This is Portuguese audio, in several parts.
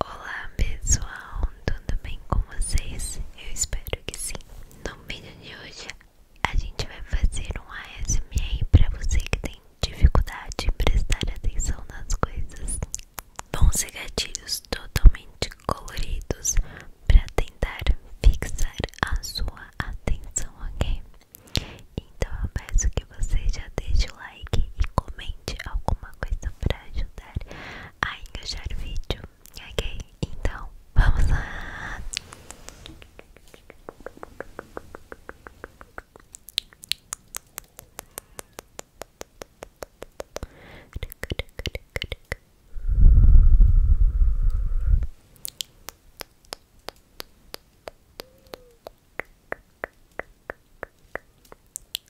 Olá pessoal, tudo bem com vocês? Eu espero que sim. No vídeo de hoje a gente vai fazer um ASMR para você que tem dificuldade em prestar atenção nas coisas. Vão ser gatilhos totalmente coloridos para tentar fixar a sua atenção, ok? Então eu peço que que você já deixe o like e comente alguma coisa pra ajudar a engajar o vídeo, ok? Então, vamos lá!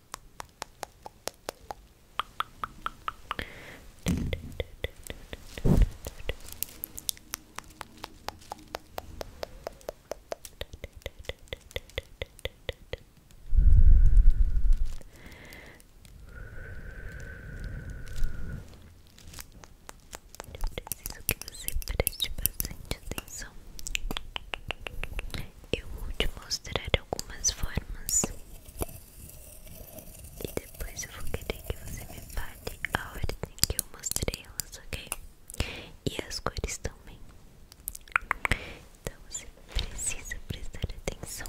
Eu preciso que você preste bastante atenção eu vou te mostrar algumas formas e depois eu vou querer que você me fale a ordem que eu mostrei elas, ok? E as cores também. Então você precisa prestar atenção.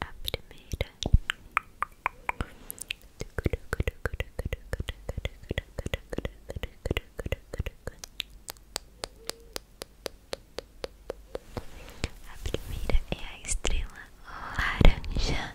A primeira a é a Estrela laranja.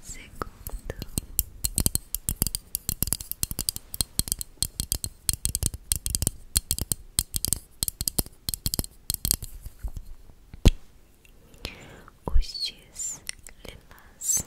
segundo, os dias lilás.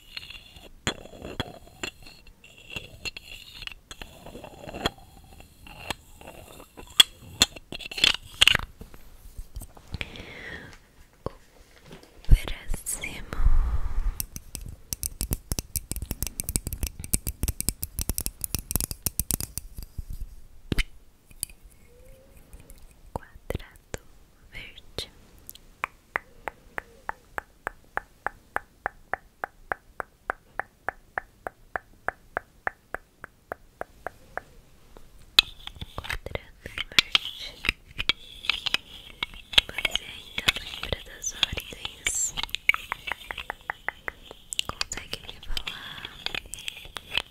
próximo quadrado dourado, verde. Quadrado verde. Você ainda lembra das ordens? Consegue me falar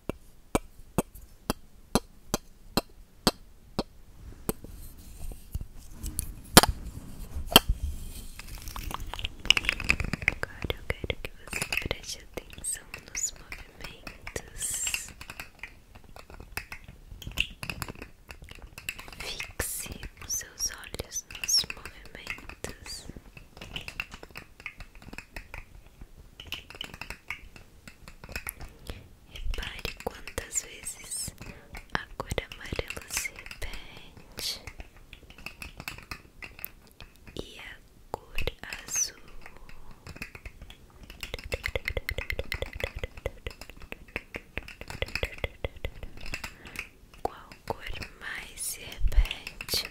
Agora eu quero que você preste atenção nos movimentos. Fixe os seus olhos nos movimentos. Repare quantas vezes a cor amarela se repete e a cor azul. Qual cor mais se repete?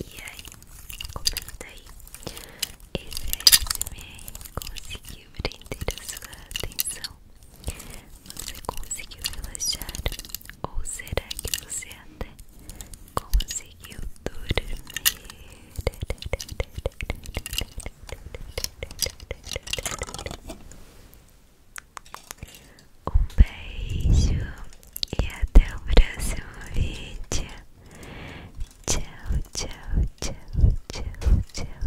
E aí, comenta aí Esse ASMR conseguiu prender a sua atenção você conseguiu relaxar? Ou será que você até conseguiu dormir? Um beijo e até o próximo vídeo. Tchau, tchau, tchau, tchau, tchau.